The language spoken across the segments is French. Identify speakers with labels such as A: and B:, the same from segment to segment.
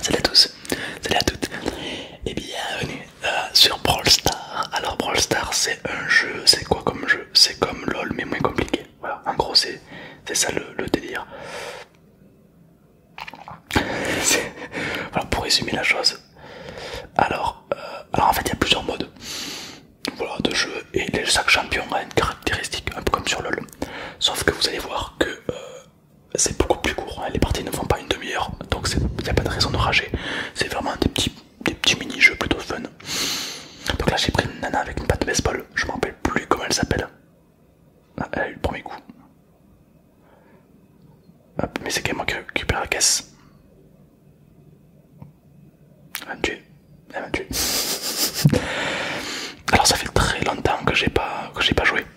A: Salut à tous, salut à toutes et eh bienvenue euh, sur Brawl Star. Alors Brawl Star, c'est un jeu, c'est quoi comme jeu C'est comme LOL mais moins compliqué. Voilà, en gros c'est ça le, délire. voilà, pour résumer la chose. Alors, euh, alors en fait il y a plusieurs modes de jeu et sac champion a une caractéristique un peu comme sur LOL. Sauf que vous allez voir que euh, c'est beaucoup plus court. Hein. Les parties ne font pas une demi-heure, donc il n'y a pas de raison de rager. C'est vraiment des petits, mini-jeux plutôt fun. Donc là, j'ai pris une nana avec une patte de baseball. Je me rappelle plus comment elle s'appelle. Ah, elle a eu le premier coup. mais c'est quand même moi qui récupère la caisse. Elle va me Elle Alors, ça fait très longtemps que j'ai pas, que pas joué.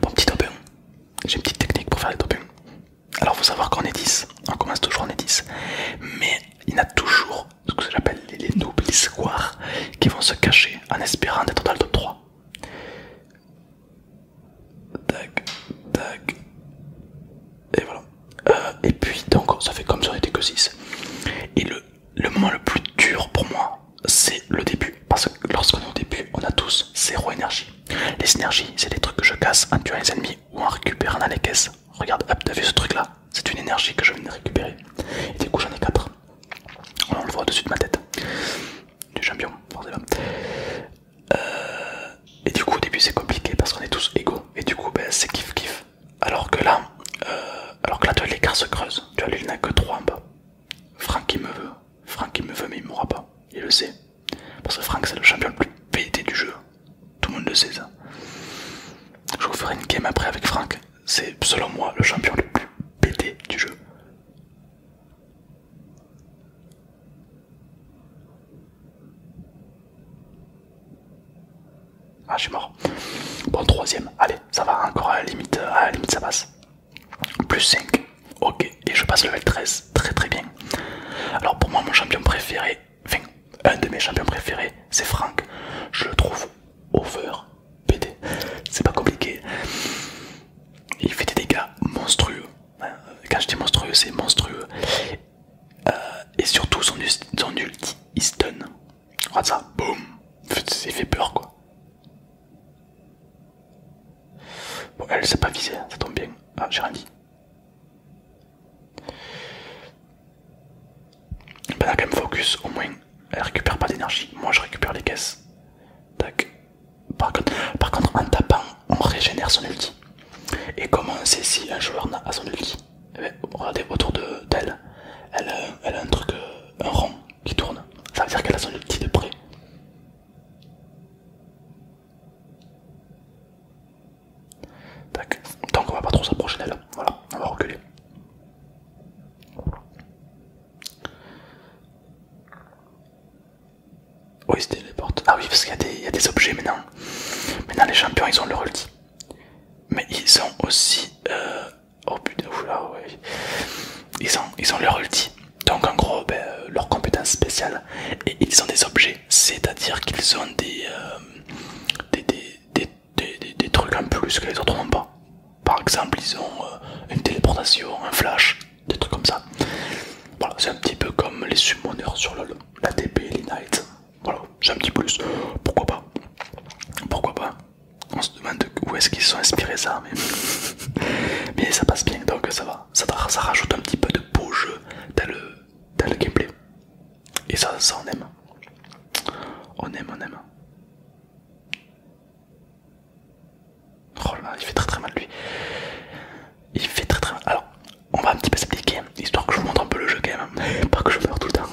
A: Bon, petit top J'ai une petite technique pour faire les top 1. Alors, faut savoir qu'on est 10. On commence toujours, en est 10. Mais il y a toujours ce que j'appelle les, les nobles qui vont se cacher en espérant d'être dans le top 3. Tac, tac. Et voilà. Euh, et puis, donc, ça fait comme si on était que 6. Et le le moment le plus dur pour moi, c'est le début. Parce que lorsqu'on est au début, on a tous zéro énergie. Les énergies, c'est les trucs que je casse en tuant les ennemis ou en récupérant dans les caisses. Regarde, hop, t'as vu ce truc là C'est une énergie que je viens de récupérer. Et du coup, j'en ai quatre. On le voit au-dessus de ma tête. Du champion, forcément. Euh, et du coup, au début, c'est compliqué parce qu'on est tous égaux. Et du coup, ben, c'est kiff kiff. Alors que là, euh, alors que là, tu vois, l'écart se creuse. Tu vois, lui, il que trois en bas. Franck il me veut, Franck il me veut mais il mourra pas, il le sait. Parce que Franck c'est le champion le plus pété du jeu, tout le monde le sait ça. Je vous ferai une game après avec Franck, c'est selon moi le champion le plus pété du jeu. Ah je suis mort. Bon troisième, allez ça va encore à la limite, à la limite ça passe. Plus 5. Ok. Et je passe le level 13. Très très bien. Alors pour moi, mon champion préféré, enfin, un de mes champions préférés, c'est Frank. Je le trouve over PD. C'est pas compliqué. Il fait des dégâts monstrueux. Euh, quand je dis monstrueux, c'est monstrueux. Euh, et surtout son, son ulti, il stun. Regarde ça, boum. Il fait peur quoi. Bon, elle sait pas viser, hein, ça tombe bien. Ah, j'ai rien dit. Ben, quand même focus, au moins, elle récupère pas d'énergie. Moi, je récupère les caisses. Tac. Par contre, en tapant, on régénère son ulti. Et comment on sait si un joueur a son ulti eh bien, Regardez autour d'elle, de, elle, elle a un truc euh, un rond qui tourne. Ça veut dire qu'elle a son ulti de près. Tac. Donc on va pas trop s'approcher d'elle. Voilà, on va reculer. Oui, c'était les portes. Ah oui, parce qu'il y, a des objets maintenant. Maintenant, les champions, ils ont leur ulti. Mais ils ont aussi euh, Oh putain, Ils ont, ils ont leur ulti, donc en gros, ben, euh, leur compétence spéciale, et ils ont des objets, c'est-à-dire qu'ils ont euh, des, des, trucs en plus que les autres n'ont pas. Par exemple, ils ont euh, une téléportation, un flash, des trucs comme ça. Voilà, c'est un petit peu comme les summoners sur la TP les knights. Voilà, c'est un petit plus. Pourquoi pas Pourquoi pas on se demande où est-ce qu'ils sont inspirés ça, mais... ça passe bien, donc ça va. Ça, ça rajoute un petit peu de beau jeu dans le, le gameplay. Et ça, ça on aime. On aime, on aime. Oh là, il fait très très mal lui. Il fait très très mal. Alors, on va un petit peu s'appliquer, histoire que je vous montre un peu le jeu quand même, hein. pas que je meurs tout le temps.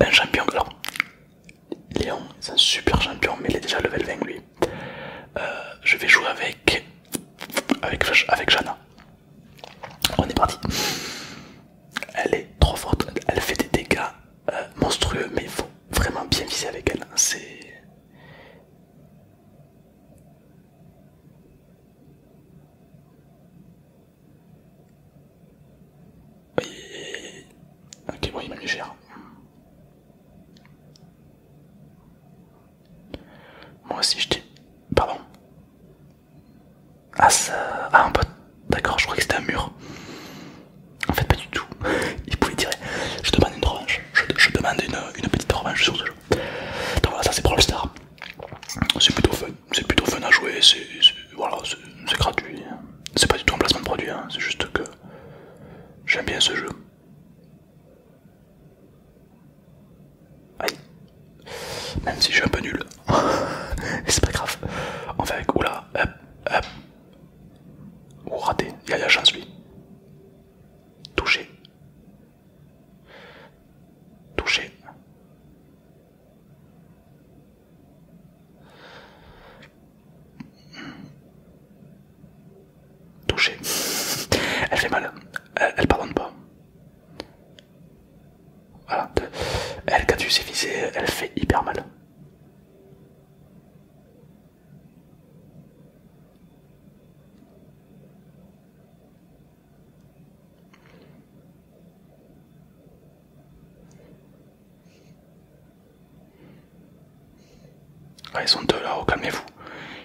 A: Un champion, alors, Léon, c'est un super champion, mais il est déjà level 20 lui. Euh, je vais jouer avec. avec, avec Jana. On est parti. Elle est trop forte, elle fait des dégâts euh, monstrueux, mais il faut vraiment bien viser avec elle. C'est. Ok, oui, il m'a mis cher. Moi aussi, je dis. Pardon. Ah, ça. Ah, D'accord, je croyais que c'était un mur. En fait, pas du tout. Il pouvait tirer. Je demande une revanche. Je, demande une, petite revanche sur ce jeu. Donc voilà, ça c'est Brawl Star. C'est plutôt fun. C'est plutôt fun à jouer. C'est voilà, gratuit. C'est pas du tout un placement de produit. Hein. C'est juste que J'aime bien ce jeu. Aïe. Même si je suis un peu nul. c'est pas grave. En fait Oula. Hop. Ou raté. Il y a la chance lui. Touché. Touché. Touché. Elle fait mal. Elle, elle pardonne pas. Voilà. Elle, quand tu sais viser, elle fait hyper mal. Ah, ils sont deux là, calmez-vous.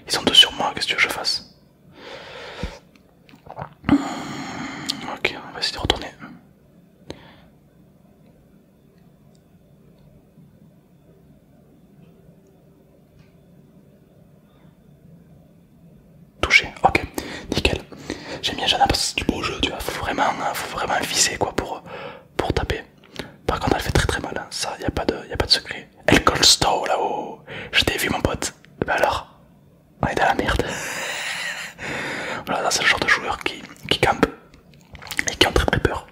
A: Ils sont deux sur moi, qu'est-ce que je fasse Ok, on va essayer de retourner. Touché, ok, nickel. J'aime bien Jana parce que c'est du beau jeu, tu vois. vraiment, faut vraiment hein, viser quoi pour, pour taper. Par contre, elle fait très très mal, hein. ça, y a, pas de, y a pas de secret. Elle call là-haut. Je t'ai vu, mon pote. Bah alors, on est dans la merde. voilà, c'est le genre de joueurs qui, campent et qui ont très très peur.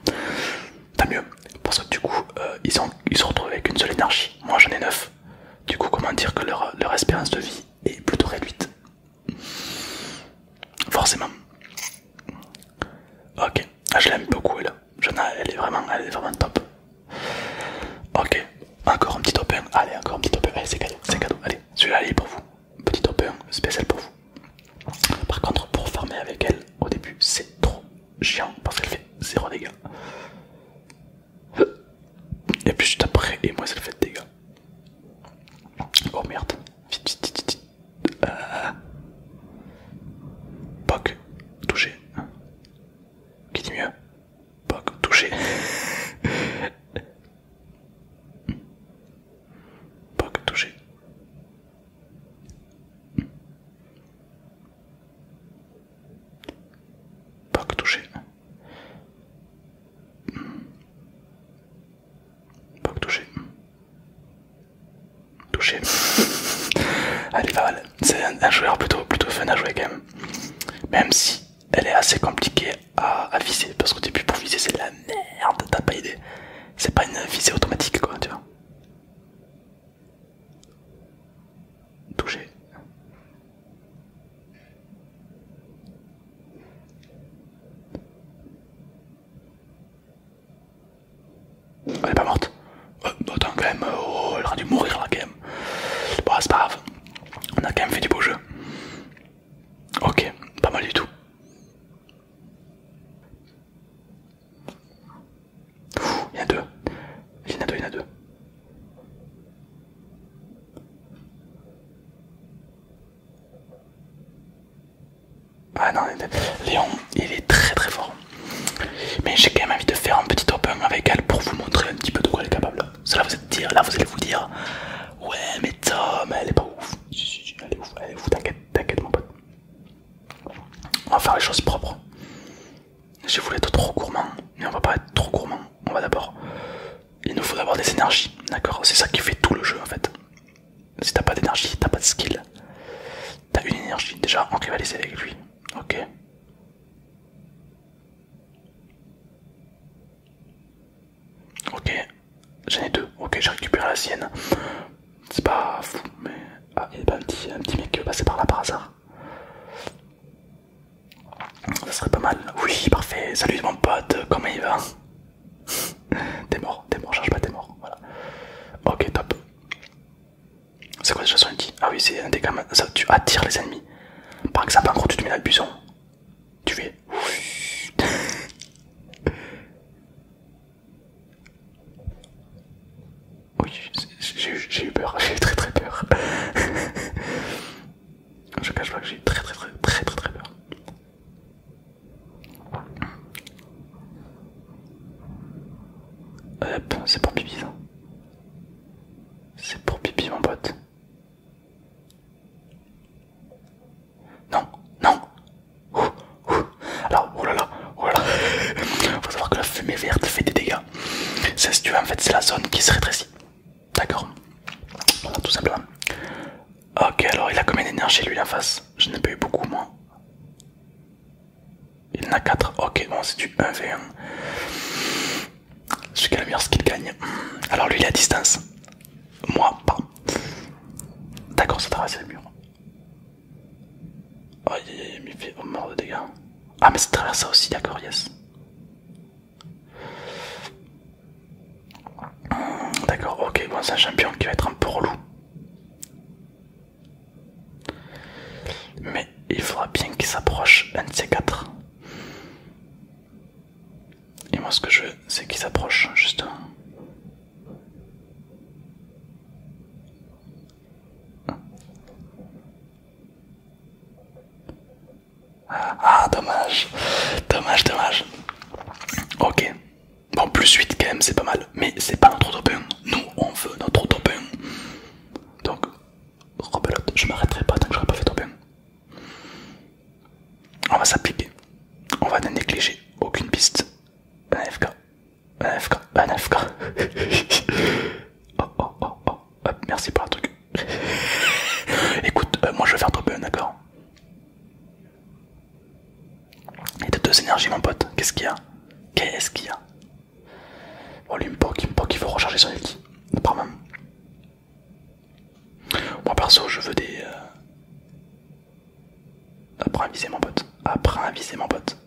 A: Tant mieux, parce que du coup, euh, ils, ont, ils se retrouvent avec une seule énergie. Moi j'en ai neuf. Du coup, comment dire que leur espérance de vie est plutôt réduite. Forcément. Ok, ah, je l'aime beaucoup elle. Elle est vraiment, elle est vraiment top. Ok, encore un petit open, Allez, encore un petit open, eh, c'est cadeau, c'est cadeau. Allez, celui-là, est pour vous. Petit open spécial pour vous. Par contre, pour farmer avec elle, au début, c'est trop chiant parce qu'elle fait 0 dégâts. Et puis juste après, et moi, ça le fait de dégâts. Oh merde, vite, vite, vite, vite ah touché. Qui dit mieux Poc, touché. Poc, touché. Poc, touché. Pas que toucher. Toucher. elle est pas mal. C'est un, joueur plutôt, plutôt fun à jouer quand même. Même si elle est assez compliquée à, viser. Parce qu'au début pour viser c'est la merde. T'as pas idée. C'est pas une visée automatique quoi tu vois. Toucher. Elle est pas morte. Autant euh, attends, quand même, euh, oh, elle aurait dû mourir là, quand même. Bon, c'est pas grave. On a quand même fait du beau jeu. Ok, pas mal du tout. il y en a deux. Il y en a deux, il y en a deux. Ah non, Léon, il est très très fort. Mais j'ai quand même envie de faire un petit open avec elle pour vous montrer un petit peu de quoi elle est capable. Cela vous dire, là vous allez vous dire, ouais mais Tom, elle est pas ouf. Elle est ouf, t'inquiète, mon pote. On va faire les choses propres. Je voulais être trop gourmand, mais on va pas être trop gourmand. On va d'abord, il nous faut d'abord des énergies, d'accord C'est ça qui fait tout le jeu en fait. Si t'as pas d'énergie, t'as pas de skill. T'as une énergie déjà en rivaliser avec lui. Ok. Ok, j'en ai deux. Ok, j'ai récupéré la sienne. C'est pas fou, mais. Ah, il y a pas un petit, mec qui est passé par là par hasard. Ça serait pas mal. Oui, parfait. Salut mon pote, comment il va t'es mort, t'es mort, charge pas, t'es mort. Voilà. Ok, top. C'est quoi déjà chanson Ah oui, c'est un dégât. Ça, tu attires les ennemis. Par exemple, en gros, tu te mets le buisson. Tu fais. Oui, j'ai eu peur, j'ai eu très très peur. Je cache pas que j'ai eu très très très très très très peur c'est pour pipi ça. C'est pour pipi mon pote. Non, non. Alors, oh, oh là là, Faut savoir que la fumée verte fait des dégâts. C'est si tu veux, en fait, c'est la zone qui se rétrécit. D'accord. Voilà, tout simplement. Ok, alors il a combien d'énergie lui la face Je n'ai pas eu beaucoup moi. Il en a 4. Ok, bon, c'est du 1v1. Celui qui a le ce qu'il gagne. Alors lui il est à distance. Moi, pas. D'accord, ça traverse le mur. Oh, il me fait mort de dégâts. Ah, mais ça traverse ça aussi, d'accord, yes. D'accord, ok, bon, c'est un champion qui va être un peu relou. Mais il faudra bien qu'il s'approche un de ces quatre. Et moi, ce que je veux, c'est qu'il s'approche, juste. Ah, dommage, dommage, dommage. Ok, Bon, plus 8 quand même, c'est pas mal. Mais c'est pas notre top 1. Nous, on veut notre top 1. Donc, rebelote, je m'arrêterai pas tant que j'aurai pas fait 1. On va s'appliquer. On va ne négliger aucune piste. Un FK. Un AFK. Un AFK. oh, oh, oh, oh. merci pour le truc. Écoute, euh, moi je vais faire 1, d'accord il a deux énergies mon pote, qu'est-ce qu'il y a Qu'est-ce qu'il y a Bon oh, lui me poke, il me il faut recharger son ulti, apparemment. Moi perso je veux des... Euh, apprends à viser mon pote, apprends à viser mon pote,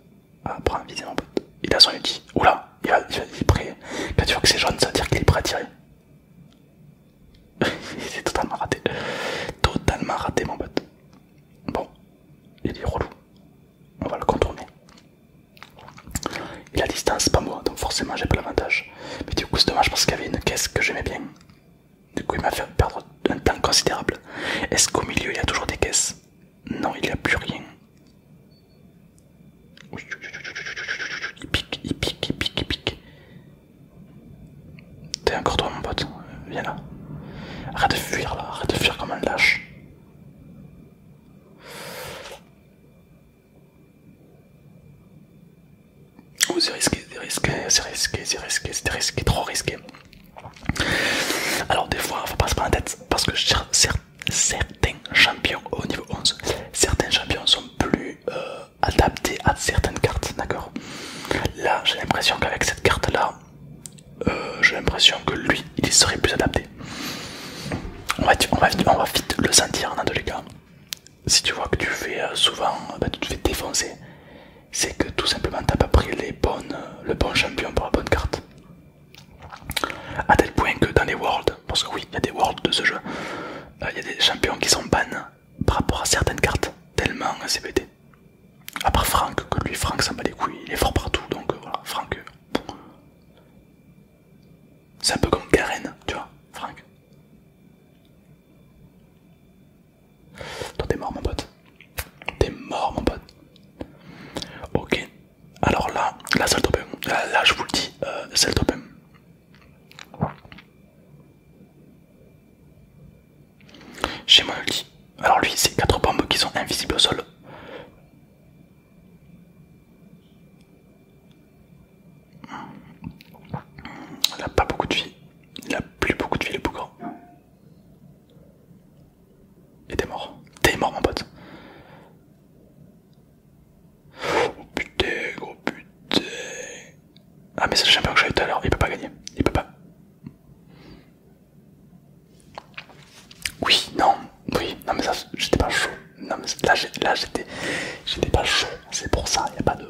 A: apprends à viser mon pote. Il a son ulti, oula, il, va, il, va, il est prêt. Quand tu vois que c'est jaune ça veut dire qu'il est prêt à tirer il est totalement raté. Totalement raté mon bot. Bon, il est relou. On va le contourner. Il a distance, pas moi, donc forcément j'ai pas l'avantage. Mais du coup c'est dommage parce qu'il y avait une caisse que j'aimais bien. Du coup il m'a fait perdre un temps considérable. Est-ce qu'au milieu il y a toujours des caisses Non, il n'y a plus rien. Il pique, il pique, il pique, il pique. T'es encore toi mon pote, viens là. Arrête de fuir là, arrête de fuir comme un lâche. Oh, c'est risqué, c'est risqué, c'est risqué, c'est risqué, c'est trop risqué. Alors des fois, faut pas se prendre la tête parce que certains champions au niveau 11, certains champions sont plus... Euh, adapté à certaines cartes, d'accord Là, j'ai l'impression qu'avec cette carte-là, euh, j'ai l'impression que lui, il serait plus adapté. On va, vite le sentir dans tous les cas. Si tu vois que tu fais euh, souvent, euh, bah, tu fais défoncer, c'est que tout simplement t'as pas pris les bonnes, le bon champion pour la bonne carte. à tel point que dans les worlds, parce que oui, il y a des worlds de ce jeu, il y a des champions qui sont bannes par rapport à certaines cartes, tellement c'est bêté. À part Franck, que lui, Franck s'en bat les couilles, il est fort partout, donc euh, voilà, Franck. Euh, c'est un peu comme Karen, tu vois, Franck. Toi, t'es mort, mon pote. T'es mort, mon pote. Ok, alors là, là, c'est le top 1. Là, je vous le dis, euh, c'est le top 1. J'ai mon ulti. Alors lui, c'est 4 bombes qui sont invisibles au sol. Il a pas beaucoup de vie. Il a plus beaucoup de vie plus grand. Et t'es mort. T'es mort mon pote. Oh putain, gros putain. Ah, mais c'est le champion que j'avais tout à l'heure, il peut pas gagner. Il peut pas. Oui, non, oui, non, mais ça, j'étais pas chaud. Non, mais là, j'étais j'étais pas chaud. C'est pour ça, il a pas de.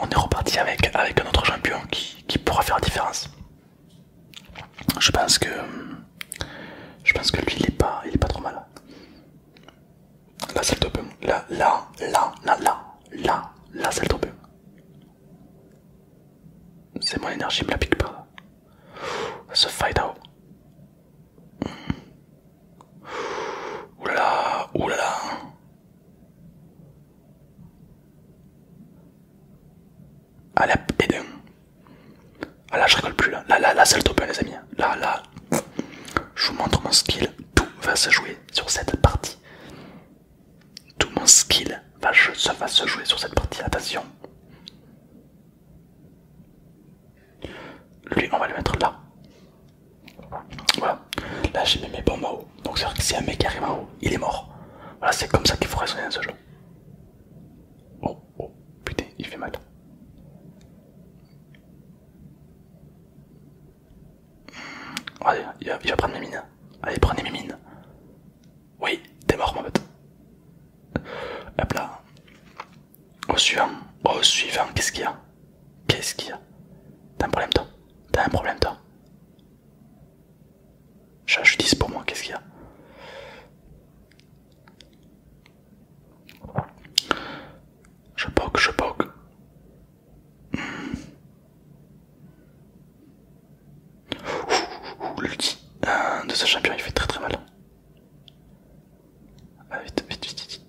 A: On, est reparti avec, avec un autre champion qui, qui pourra faire la différence. Je pense que. Je pense que lui, il est pas, il est pas trop mal. Là c'est le top 1, la la la la la c'est le top 1 C'est mon énergie me la pique piqueur Ce fight out Ouh Oulala oulala Allez 2 Ah là je rigole plus là Là là c'est le top 1 les amis Là là Je vous montre mon skill tout va se jouer sur cette partie. Tout mon skill va, se jouer sur cette partie. Attention. Lui, on va le mettre là. Voilà. Là, j'ai mis mes bombes en haut. Donc, cest à que si un mec arrive en haut, il est mort. Voilà, c'est comme ça qu'il faut raisonner ce jeu. Oh, oh, putain, il fait mal. Allez, il va, prendre mes mines. Allez, prenez mes mines. Oui, t'es mort, mon pote. Hop là. Au suivant. Oh, au suivant, qu'est-ce qu'il y a Qu'est-ce qu'il y a T'as un problème, toi T'as un problème, toi Je, dis pour moi, qu'est-ce qu'il y a Je poke, je poke. Ouh, euh, de sa champion, il fait très très mal. Ah, vite, vite, vite, vite.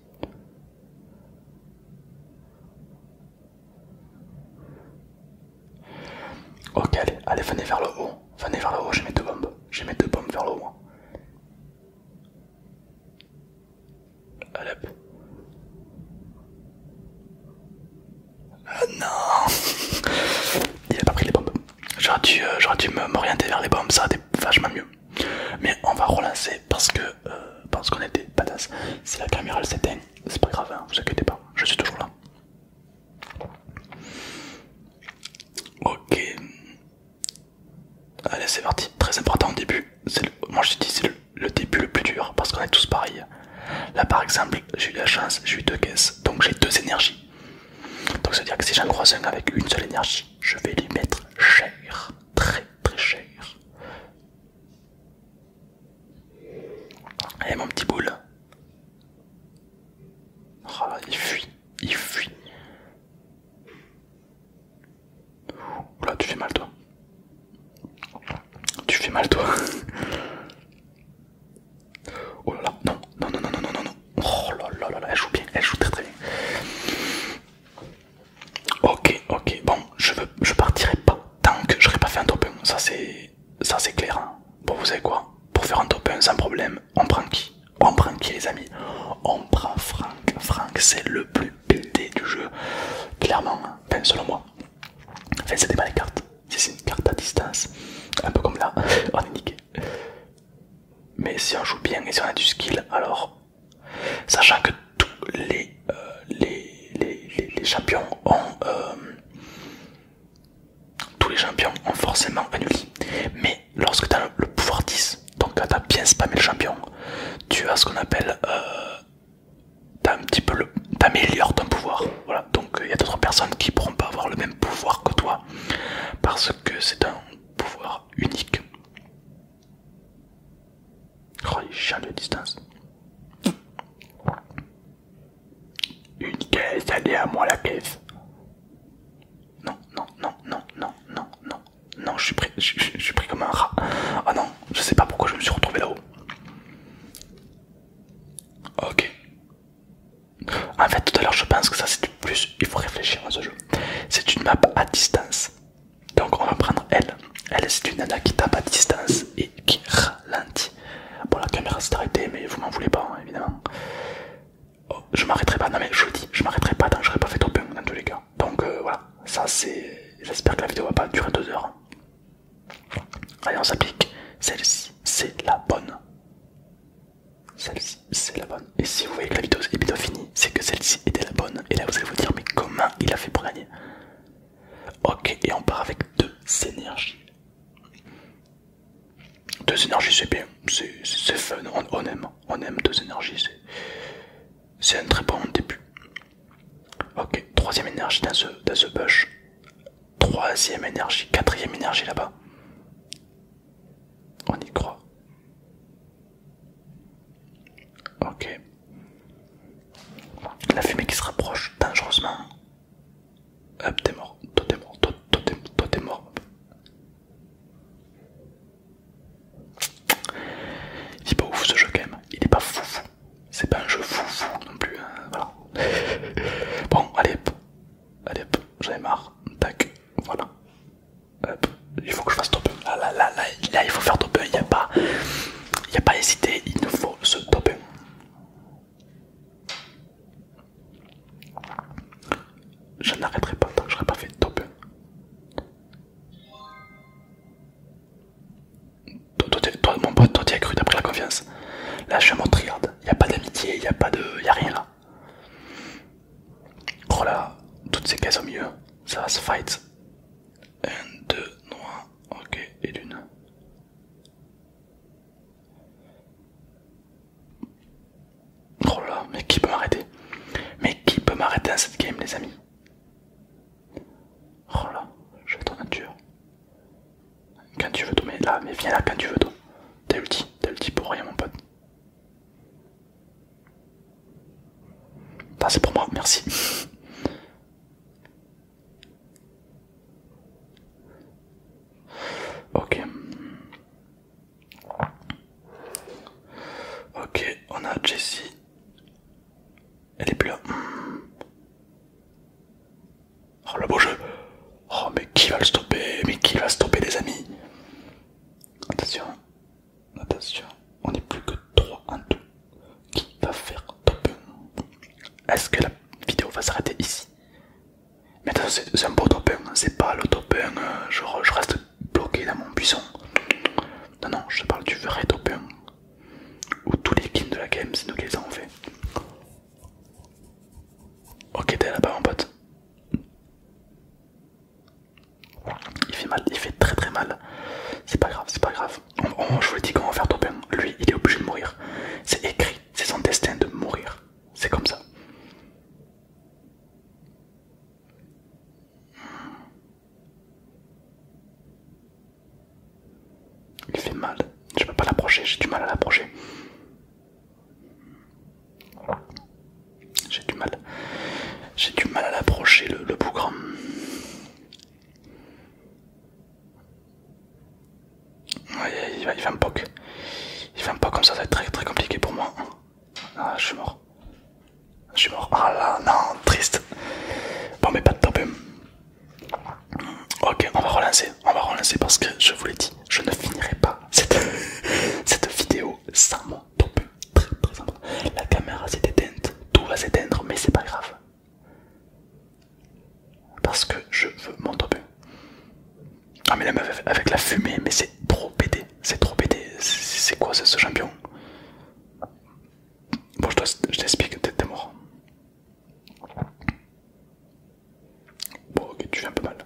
A: Ok, allez, allez, fané vers le haut. fané vers le haut, j'ai mes deux bombes. J'ai mes deux bombes vers le haut. Ah non Il a pas pris les bombes. J'aurais dû, euh, m'orienter vers les bombes, ça aurait été vachement mieux. Mais on va relancer parce que euh, parce qu'on était badass. Si la caméra elle s'éteint, c'est pas grave, hein, vous inquiétez pas, je suis toujours là. Ok. Allez, c'est parti. Très important au début. moi, je te dis, c'est le, début le plus dur parce qu'on est tous pareils. Là, par exemple, j'ai eu la chance, j'ai eu deux caisses, donc j'ai deux énergies. Donc, ça veut dire que si j'en croise un avec une seule énergie, je vais lui mettre cher, très très cher. Et mon petit boule. Oh il fuit, il fuit. Oula, tu fais mal toi. Tu fais mal toi. Oh non, non, non, non, non, non, non. Oh là là là elle joue bien, elle joue très très bien. Ok, ok, bon, je, veux, je partirai pas tant que j'aurai pas fait un top 1. Ça c'est ça c'est clair. Hein. Bon, vous savez quoi Pour faire un top 1 sans problème, on prend qui On prend qui les amis On prend Franck. Franck, c'est le plus le du jeu, clairement, hein. selon moi. Enfin, c'était pas des cartes. c'est une carte à distance, un peu comme là, on est niqué. Mais si on joue bien et si on a du skill, alors, sachant que tous les, euh, les, les, les, champions ont. Euh, tous les champions ont forcément un Mais lorsque tu as le pouvoir 10, donc quand tu as bien spammé le champion, tu as ce qu'on appelle euh, t'as un petit peu le. t'améliores ton pouvoir. Voilà, donc il euh, y a d'autres personnes qui pourront pas avoir le même pouvoir que toi parce que c'est un pouvoir unique. Oh, les chiens de distance. Une caisse, allez à moi la caisse. Non, non, non, non, non, non, non, non, je suis pris, je, suis pris comme un rat. Ah non, je sais pas pourquoi je me suis retrouvé là-haut. Ok. En fait, tout à l'heure, je pense que ça c'est du plus. Il faut réfléchir à ce jeu. C'est une map à distance. Donc, on va prendre elle. Elle, c'est une nana qui tape à distance et qui ralentit. Bon, la caméra s'est arrêtée, mais vous m'en voulez pas, hein, évidemment. Oh, je m'arrêterai pas, non mais je le dis, je m'arrêterai pas J'aurais pas fait trop bien dans tous les cas donc euh, voilà, ça c'est. J'espère que la vidéo va pas durer deux heures. Allez, on s'applique. Celle-ci, c'est la bonne. Celle-ci, c'est la bonne. Et si vous voyez que la vidéo est bientôt finie, c'est que celle-ci était la bonne. Et là, vous allez vous dire, mais comment il a fait pour gagner Ok, et on part avec deux énergies. Deux énergies, c'est bien, c'est fun, on, on aime. On aime deux énergies, c'est un très bon début. Ok, troisième énergie dans ce, bush. Troisième énergie, quatrième énergie là-bas. On y croit. Ok. La fumée qui se rapproche dangereusement. Hop, t'es mort. t'es mort. Toi, t'es mort. Il est pas ouf ce jeu quand même, il est pas fou C'est pas un jeu fou non plus, hein. voilà. bon, allez hop, allez hop, j'en ai marre, tac, voilà. Hop, il faut que je fasse top 1. Là, là, là, là, il faut faire top 1, il n'y a pas, il y a pas hésité, il nous faut ce top 1. Je n'arrêterai pas Je que pas fait top 1. Toi, mon pote, toi, tu as cru, d'après la confiance. Là, je suis un mot y a pas d'amitié, y a pas de. y a rien là. Oh là, toutes ces cases au milieu, ça va se fight. 1, 2, 1, ok, et d'une. Oh là, mais qui peut m'arrêter Mais qui peut m'arrêter dans cette game, les amis Oh là, je vais être un tueur. Quand tu veux tomber, mais là, mais viens là quand tu veux tomber. T'as ulti, t'as ulti pour rien mon pote. Ah, c'est pour moi, merci. ok. Ok, on a Jessie. Elle est plus là. Oh le beau jeu Oh mais qui va le stopper Mais qui va stopper les amis Attention, attention, on est plus que 3 en tout. Qui va faire top 1 Est-ce que la vidéo va s'arrêter ici Mais attention, c'est un beau top 1, c'est pas le top 1, euh, je, je reste bloqué dans mon buisson. Non, non, je parle du vrai top 1 où tous les kills de la game, c'est nous les avons fait. Ok, t'es là-bas, mon pote. Il fait mal, il fait très très mal. C'est pas grave, c'est pas grave. je vous l'ai dit, qu'on va faire top 1, lui il est obligé de mourir. C'est écrit, c'est son destin de mourir. C'est comme ça. Il fait mal. Je peux pas l'approcher, j'ai du mal à l'approcher. J'ai du mal. J'ai du mal à l'approcher le, bougre Ouais, il fait un va Il va un poc comme ça, ça va être très très compliqué pour moi. Ah, je suis mort. Je suis mort. Ah là, non, triste. Bon, mais pas de top. Ok, on va relancer. On va relancer parce que je vous l'ai dit, je ne finirai pas cette, vidéo sans mon top. Très, très La caméra s'est éteinte, tout va s'éteindre, mais c'est pas grave. Parce que je veux mon top. Ah, mais la meuf avec la fumée, mais c'est trop pété. C'est trop pété. C'est quoi ce champion Bon, je t'explique, t'es mort. Bon, ok, tu fais un peu mal.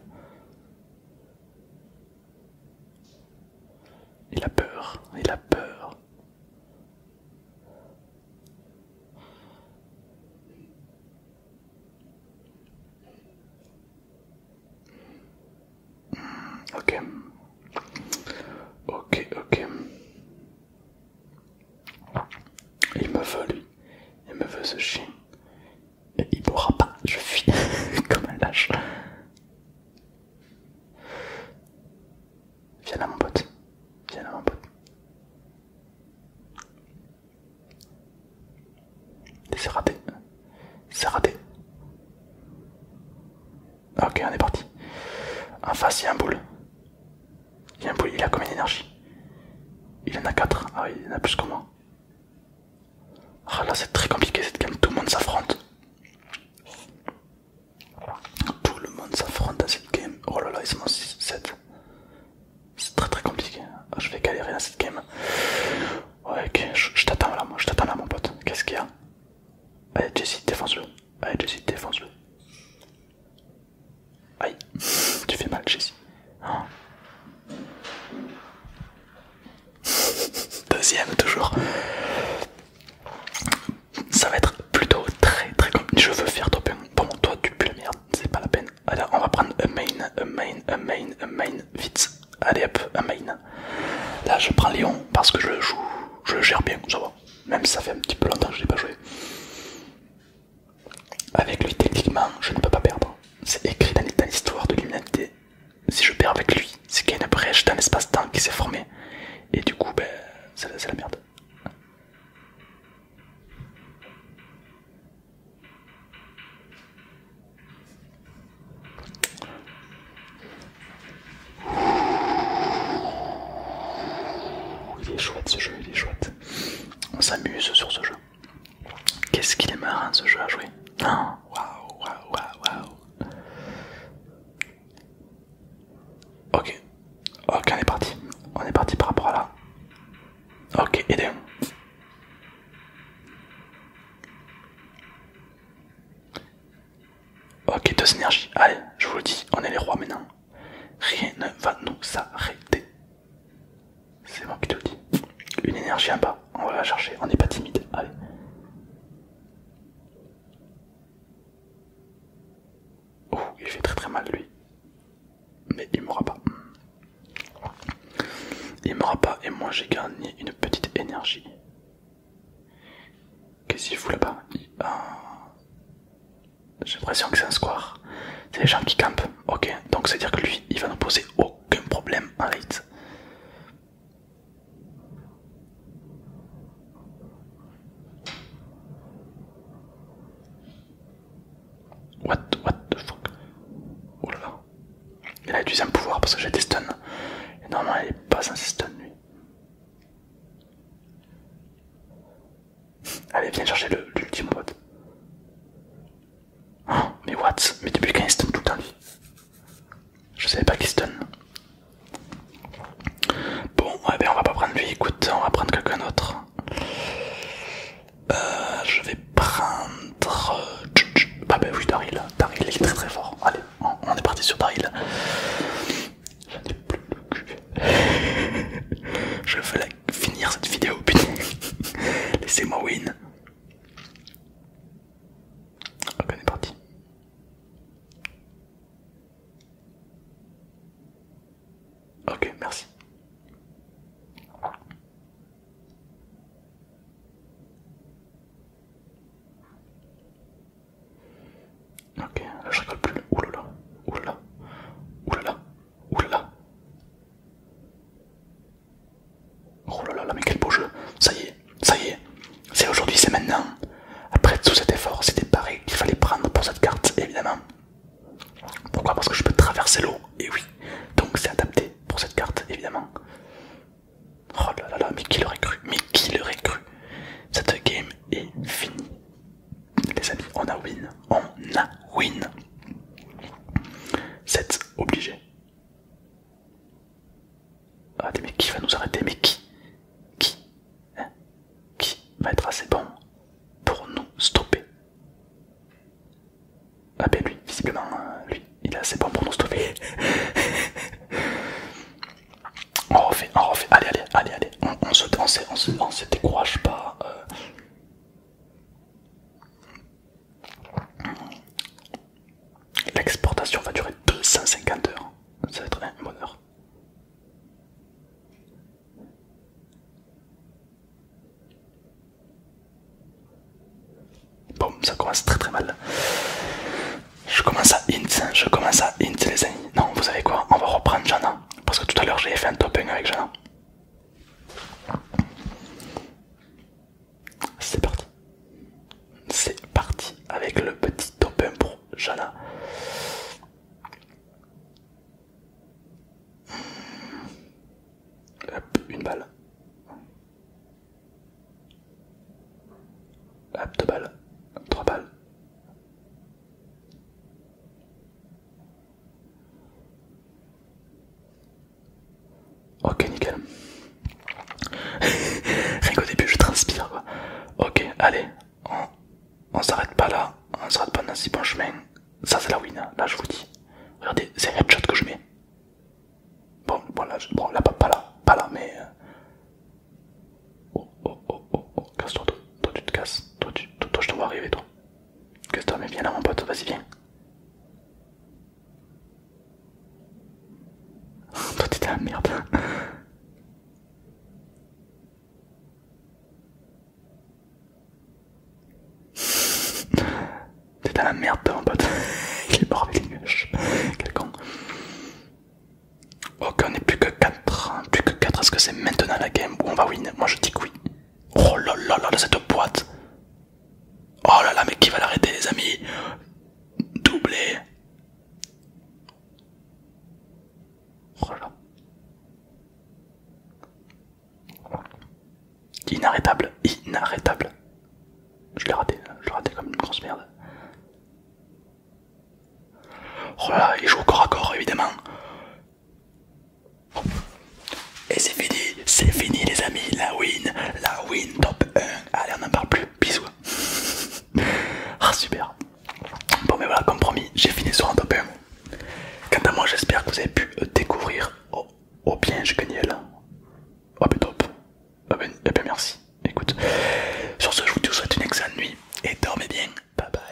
A: Il a peur, il a peur. Hmm, ok. Ok, ok. Il me veut lui. Il me veut ce chien. Et il pourra pas. Je fuis comme un lâche. Viens là mon pote. Viens là mon pote. raté. C'est raté. Ah, ok, on est parti. En face, il y a un boule. Il y a un boule, il a combien d'énergie Il en a 4. Ah oui, il en a plus que moi. Ah là, c'est très compliqué cette game, tout le monde s'affronte. Tout le monde s'affronte dans cette game. Oh là là, ils sont en 6-7. C'est très très compliqué. Ah, je vais galérer dans cette game. ok, t'attends là, moi, je t'attends là, mon pote. Qu'est-ce qu'il y a Allez, Jessie, défense-le. Allez, Jessie, défense-le. Aïe, tu fais mal, Jessie. Hein. Deuxième, toujours. Ça va être plutôt très très compliqué. Je veux faire top Bon, toi, tu pues la merde, c'est pas la peine. Allez, on va prendre un main, a main, a main, un main, vite. Allez hop, un main. Là, je prends Léon, parce que je le joue, je le gère bien, ça va. Même si ça fait un petit peu longtemps que je l'ai pas joué. Avec lui, techniquement, je ne peux pas perdre. C'est écrit dans l'histoire de l'humanité. Si je perds avec lui, c'est qu'il y a une brèche dans l'espace-temps qui s'est formé, Et du coup, ben, c'est la merde. Il est chouette ce jeu, il est chouette. On s'amuse sur ce jeu. Qu'est-ce qu'il est marrant ce jeu à jouer. Hein, waouh, waouh, waouh, waouh. Ok, ok, on est parti. On est parti par rapport à là. Ok, aidez Ok, deux énergies. Allez, je vous le dis, on est les rois maintenant. Rien ne va nous arrêter. C'est moi qui te le dis. Une énergie en bas, on va la chercher, on n'est pas timide. Allez. Oh, il fait très très mal lui. Mais il m'aura pas. Il m'aura pas et moi j'ai gagné une petite énergie. Qu'est-ce qu'il fout là-bas ben, J'ai l'impression que c'est un square. C'est les gens qui campent. Ok, donc c'est à dire que lui, il va nous poser aucun problème en raid. What, what the fuck Oh là là. Il a utilisé un pouvoir parce que j'ai des stuns. Et normalement il est pas sans stun lui. Allez, viens chercher l'ultime bot oh, mais what Mais depuis quand il stun tout le temps lui Je savais pas qu'il stun. Bon, ouais, ben on va pas prendre lui, écoute, on va prendre quelqu'un d'autre. Euh, je vais prendre. Euh, bah, bah oui, Daryl. Daryl, il est très très fort. Allez on est parti sur Paris là. cul. Je veux finir cette vidéo, putain. Laissez-moi win. Ok, on est parti. Ok, merci. Ok, là je rigole plus. Oulala, oulala, oulala, oulala. Oh là là, là mais quel beau jeu. Ça y est, ça y est. C'est aujourd'hui, c'est maintenant. Après tout cet effort, c'était pareil qu'il fallait prendre pour cette carte, évidemment. Pourquoi Parce que je peux traverser l'eau, et oui. Donc c'est adapté pour cette carte, évidemment. Oh là là là, mais qui l'aurait cru Mais qui l'aurait cru Cette game est finie. Les amis, on a win. On a win. C'est obligé. Ah, mais qui va nous arrêter Mais qui Qui hein? Qui va être assez bon pour nous stopper Ah, ben lui, visiblement, hein, lui, il est assez bon pour nous stopper. On refait, on refait, allez, allez, allez, allez, on, se, on, on, se, décourage pas. Euh. L'exportation va durer 250 heures, ça va être un bonheur. Bon, ça commence très très mal. Je commence à int, je commence à int les amis. Non, vous savez quoi On va reprendre Jana. Parce que tout à l'heure j'ai fait un top 1 avec Jana. C'est parti. C'est parti avec le petit top 1 pour Jana. Hop, une balle. 2 balles. 3 balles. Ok, nickel. Rien qu'au début, je transpire quoi. Ok, allez, on, s'arrête pas là, on s'arrête pas dans si bon chemin. Ça, c'est la win, hein. là, je vous dis. Regardez, c'est headshot que je mets. Bon, là, bon, là pas là, pas là, mais euh, Oh oh oh oh oh, casse-toi, toi, toi tu te casses, toi, tu, toi, je te vois arriver, toi. Casse-toi, mais viens là, mon pote, vas-y, viens. toi t'es la merde. T'es dans la merde mon pote, il est mort avec les nuages, quel con. Ok, on est plus que 4. Hein, plus que 4. Est-ce que c'est maintenant la game où on va win Moi je dis que oui. Oh là là là, cette boîte. Oh là là, mais qui va l'arrêter, les amis Doublé. Oh Inarrêtable, inarrêtable. Je l'ai raté, je l'ai raté comme une grosse merde. Voilà, oh il joue corps à corps évidemment. Et c'est fini, c'est fini les amis, la win, la win top 1. Allez, on n'en parle plus, bisous. ah super. Bon mais voilà, comme promis, j'ai fini sur un top 1. Quant à moi, j'espère que vous avez pu découvrir. Oh, oh bien, je gagné là. Oh top. Ah ben, eh ben, merci, écoute. Sur ce, je vous souhaite une excellente nuit et dormez bien. Bye bye.